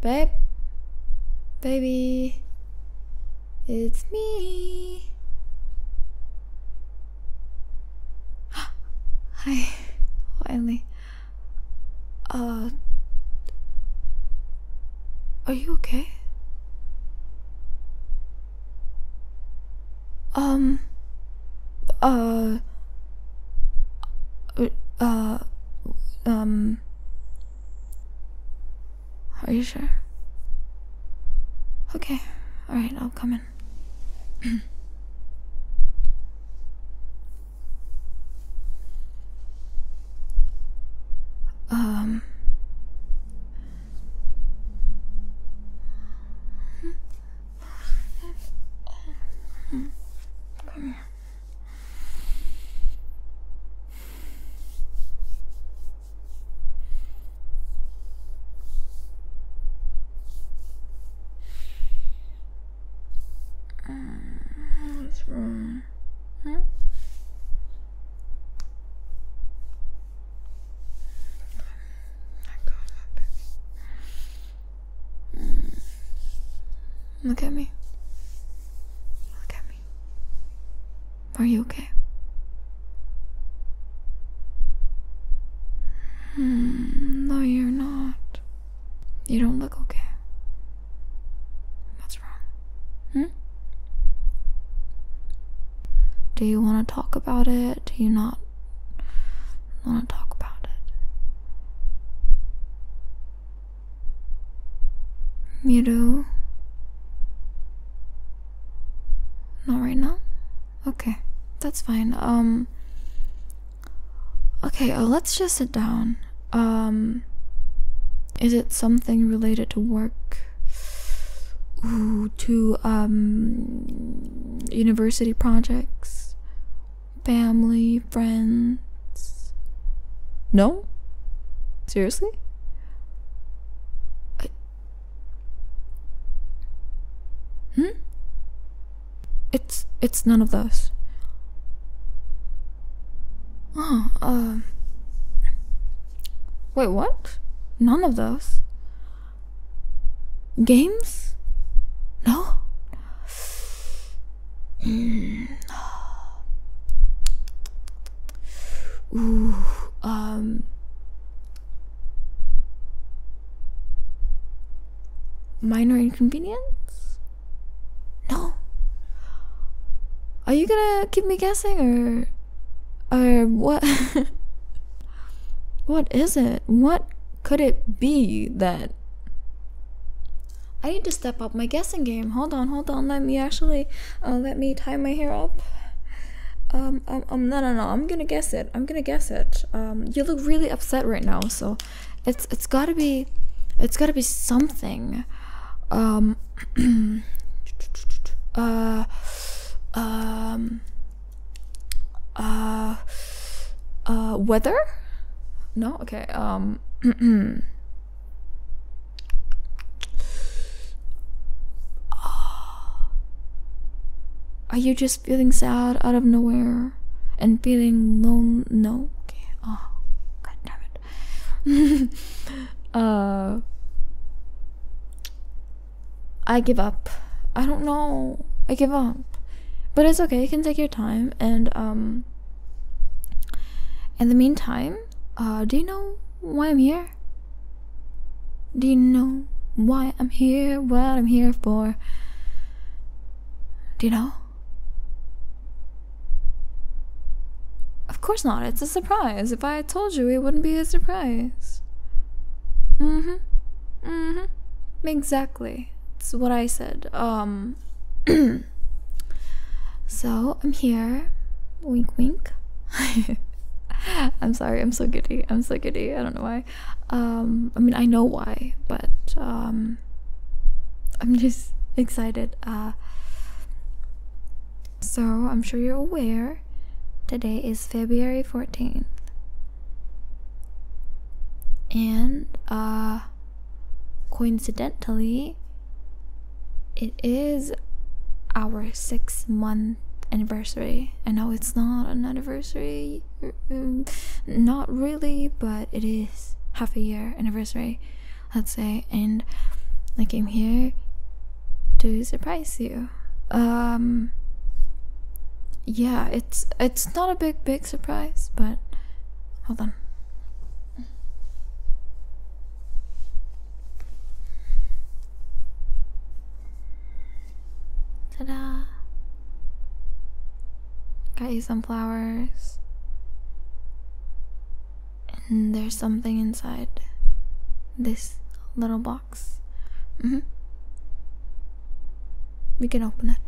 Babe? Baby? It's me. Hi, Wiley. Uh, are you okay? Um. Uh. Uh. Um. Are you sure? Okay. Alright, I'll come in. um. Come here. What's wrong? Huh? Mm. Look at me. Look at me. Are you okay? Mm, no, you're not. You don't look okay. What's wrong? Hmm? Do you want to talk about it? Do you not want to talk about it? You do? Not right now? Okay, that's fine. Um Okay, uh, let's just sit down. Um is it something related to work? to um, university projects, family, friends. No? Seriously? Hmm? It's it's none of those. Oh, Wait, what? None of those. Games? No? Hmm. um. Minor inconvenience? No. Are you gonna keep me guessing or or what What is it? What could it be that I need to step up my guessing game. Hold on, hold on. Let me actually uh, let me tie my hair up. Um, um, um, no, no, no. I'm gonna guess it. I'm gonna guess it. Um, you look really upset right now, so it's it's gotta be, it's gotta be something. Um, uh um uh uh weather no okay um Are you just feeling sad out of nowhere and feeling lone? No. Okay. Oh, god damn it. Uh, I give up. I don't know. I give up. But it's okay. You can take your time. And um, in the meantime, uh, do you know why I'm here? Do you know why I'm here? What I'm here for? Do you know? Of course not, it's a surprise. If I had told you, it wouldn't be a surprise. Mm hmm. Mm hmm. Exactly. It's what I said. Um. so, I'm here. Wink, wink. I'm sorry, I'm so giddy. I'm so giddy. I don't know why. Um, I mean, I know why, but um, I'm just excited. Uh, so I'm sure you're aware today is February 14th. And uh, coincidentally it is our six month anniversary. I know it's not an anniversary, mm, not really, but it is half a year anniversary let's say, and I came here to surprise you. Um yeah, it's it's not a big big surprise, but hold on. Ta-da! Got you some flowers. And there's something inside this little box. Mm -hmm. We can open it.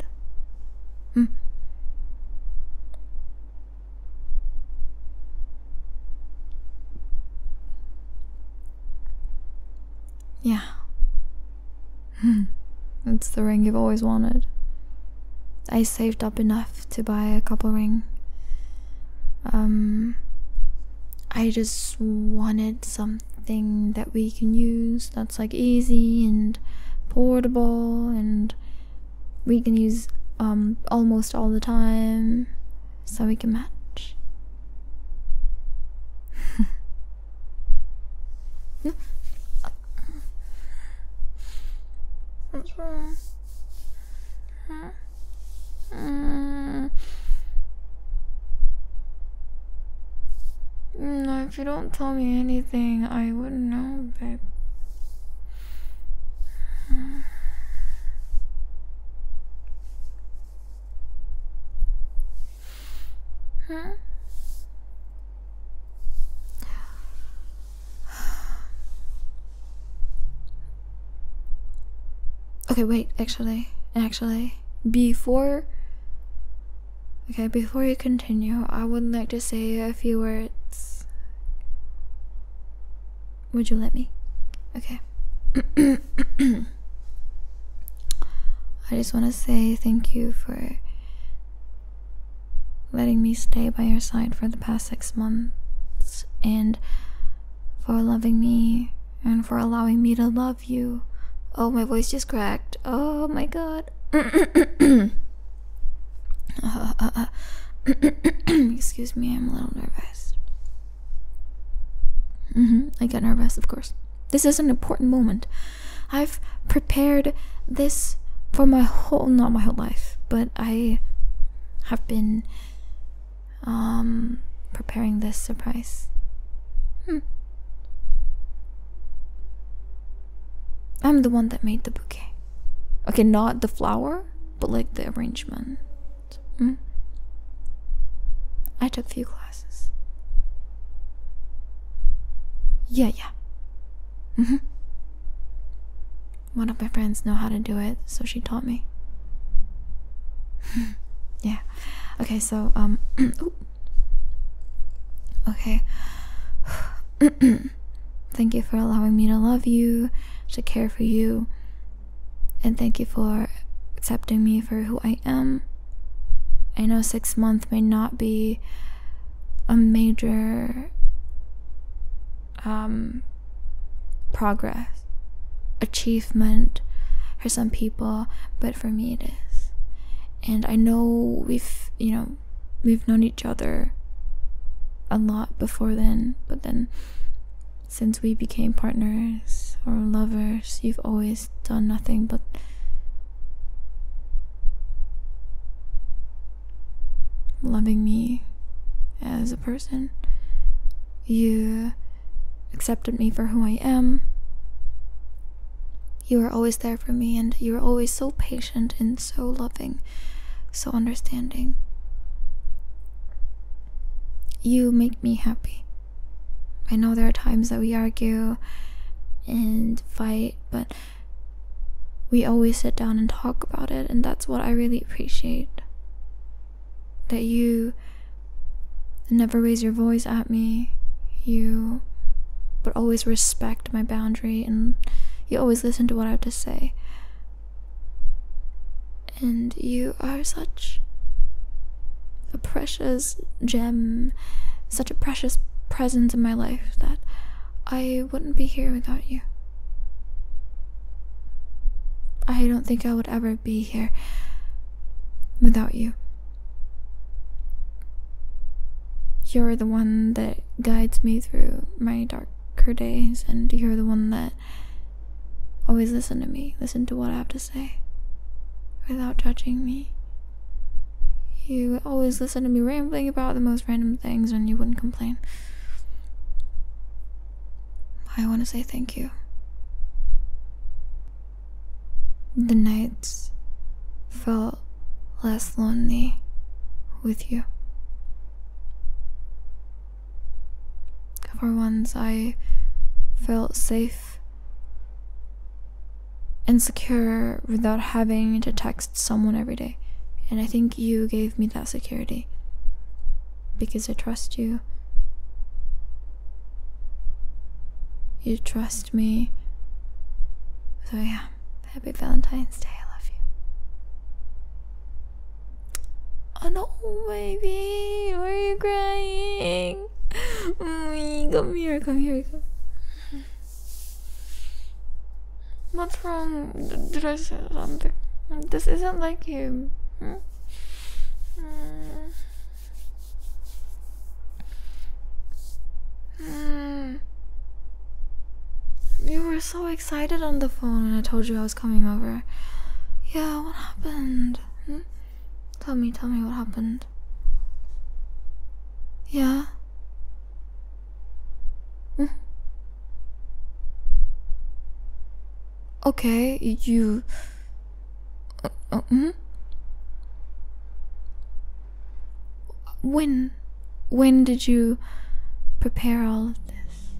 Mm. Yeah it's the ring you've always wanted. I saved up enough to buy a couple ring. Um I just wanted something that we can use that's like easy and portable and we can use um almost all the time so we can match. What's wrong? Uh, mm, no, if you don't tell me anything, I wouldn't know, babe. Huh? Okay, wait, actually, actually, before. Okay, before you continue, I would like to say a few words. Would you let me? Okay. I just want to say thank you for letting me stay by your side for the past six months, and for loving me, and for allowing me to love you. Oh, my voice just cracked. Oh my god. Excuse me, I'm a little nervous. Mm-hmm, I get nervous, of course. This is an important moment. I've prepared this for my whole not my whole life, but I have been um preparing this surprise. Hmm. I'm the one that made the bouquet. Okay, not the flower, but like the arrangement. Hmm? I took few classes. Yeah, yeah. -hmm. One of my friends know how to do it, so she taught me. yeah. Okay, so um Okay. thank you for allowing me to love you, to care for you, and thank you for accepting me for who I am. I know six month may not be a major um, progress, achievement for some people, but for me it is. And I know we've, you know, we've known each other a lot before then, but then since we became partners or lovers, you've always done nothing but loving me as a person. You accepted me for who I am. You were always there for me, and you were always so patient and so loving, so understanding. You make me happy. I know there are times that we argue and fight, but we always sit down and talk about it, and that's what I really appreciate. That you never raise your voice at me, you but always respect my boundary, and you always listen to what I have to say. And you are such a precious gem, such a precious presence in my life that I wouldn't be here without you. I don't think I would ever be here without you. You're the one that guides me through my darker days, and you're the one that always listen to me, listen to what I have to say without judging me. You always listen to me rambling about the most random things and you wouldn't complain. I want to say thank you. The nights felt less lonely with you. For once, I felt safe insecure without having to text someone every day. And I think you gave me that security because I trust you. You trust me. So, yeah, happy Valentine's Day. I love you. Oh no, baby, are you crying? Come here, come here, What's wrong? Did I say something? This isn't like you. Hmm? Hmm. Hmm. You were so excited on the phone when I told you I was coming over. Yeah, what happened? Tell me, tell me what happened. Yeah? Mm. Okay, you. Uh, uh, hmm? When? When did you prepare all of this?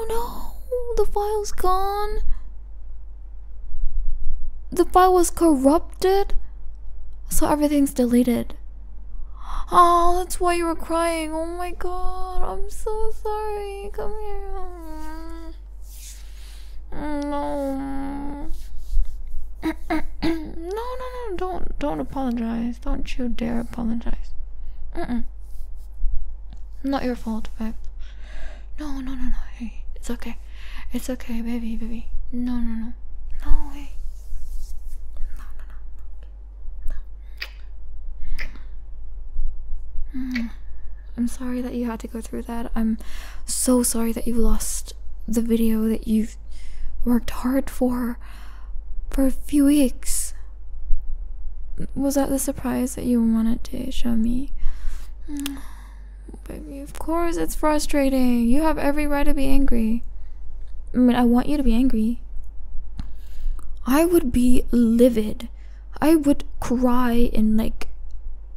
Oh no, the file's gone. The file was corrupted, so everything's deleted. Oh, that's why you were crying. Oh my god, I'm so sorry. Come here. Mm, no, no, don't, don't apologize. Don't you dare apologize. Mm-mm. Not your fault, babe. No, no, no, no. Hey, it's okay. It's okay, baby, baby. No, no, no. No way. No, no, no. no. Mm. I'm sorry that you had to go through that. I'm so sorry that you lost the video that you worked hard for for a few weeks. Was that the surprise that you wanted to show me? Baby, of course it's frustrating. You have every right to be angry. I mean, I want you to be angry. I would be livid. I would cry and like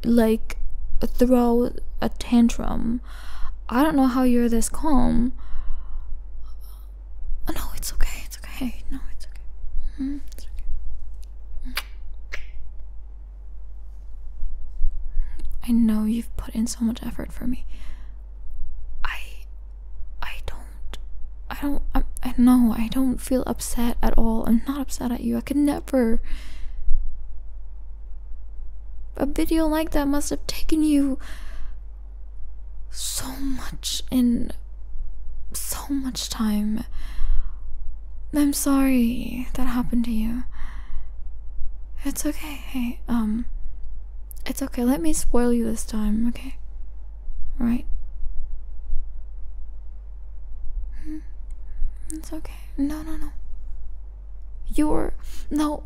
like throw a tantrum. I don't know how you're this calm. Oh, no, it's okay. It's okay. No, it's okay. Mm-hmm. It's okay. Mm-hmm. I know you've put in so much effort for me. I I don't I don't I, I know I don't feel upset at all. I'm not upset at you. I could never A video like that must have taken you so much in so much time. I'm sorry that happened to you. It's okay. Hey, um, it's okay. Let me spoil you this time, okay? Right? Hmm? It's okay. No, no, no. You're no,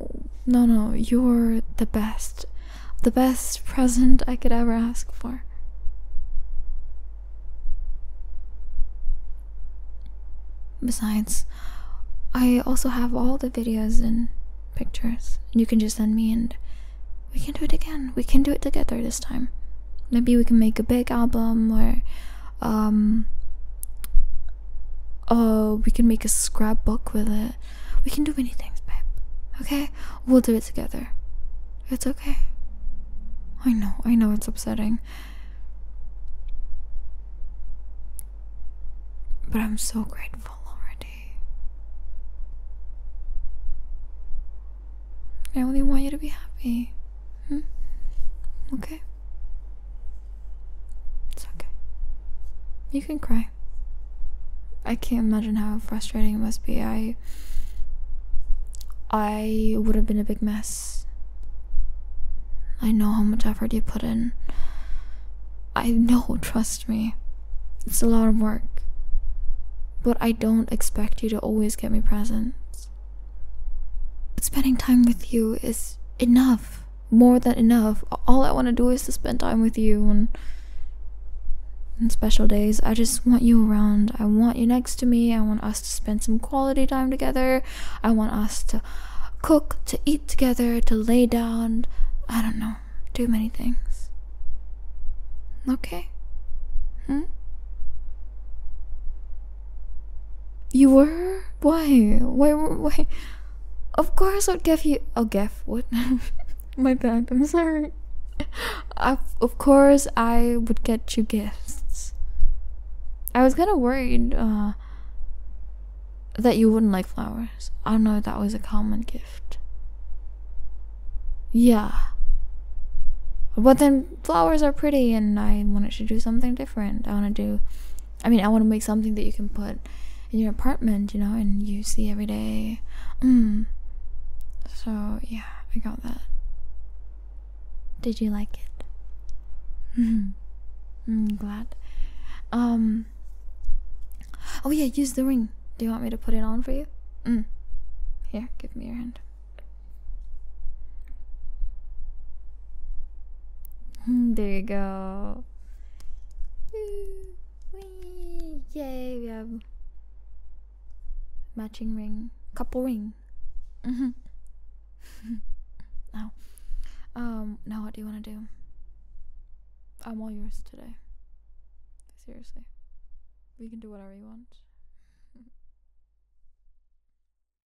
no, no, you're the best, the best present I could ever ask for. Besides, I also have all the videos and pictures. You can just send me, and we can do it again. We can do it together this time. Maybe we can make a big album where, um, Oh, we can make a scrapbook with it. We can do many things, babe. Okay? We'll do it together. It's okay. I know, I know it's upsetting. But I'm so grateful already. I only want you to be happy. Hmm? Okay? It's okay. You can cry. I can't imagine how frustrating it must be. I I would have been a big mess. I know how much effort you put in. I know, trust me. It's a lot of work. But I don't expect you to always get me presents. But spending time with you is enough more than enough. All I want to do is to spend time with you and, and special days. I just want you around. I want you next to me. I want us to spend some quality time together. I want us to cook, to eat together, to lay down. I don't know. Do many things. Okay? Hmm? You were? Why? Why? Why? Of course, I'd give you. I'll give what? My bad. I'm sorry. I, of course, I would get you gifts. I was kind of worried uh, that you wouldn't like flowers. I know that was a common gift. Yeah. But then flowers are pretty, and I wanted to do something different. I want to do I mean, I want to make something that you can put in your apartment, you know, and you see every day. Mm. So, yeah, I got that. Did you like it? I'm mm-hmm. mm, glad. Um, oh, yeah, use the ring. Do you want me to put it on for you? Mm. Here, give me your hand. Hmm, there you go. Whee! Yay, we have matching ring, couple ring. now, mm-hmm. um, now what do you want to do? I'm all yours today. Seriously, we can do whatever you want.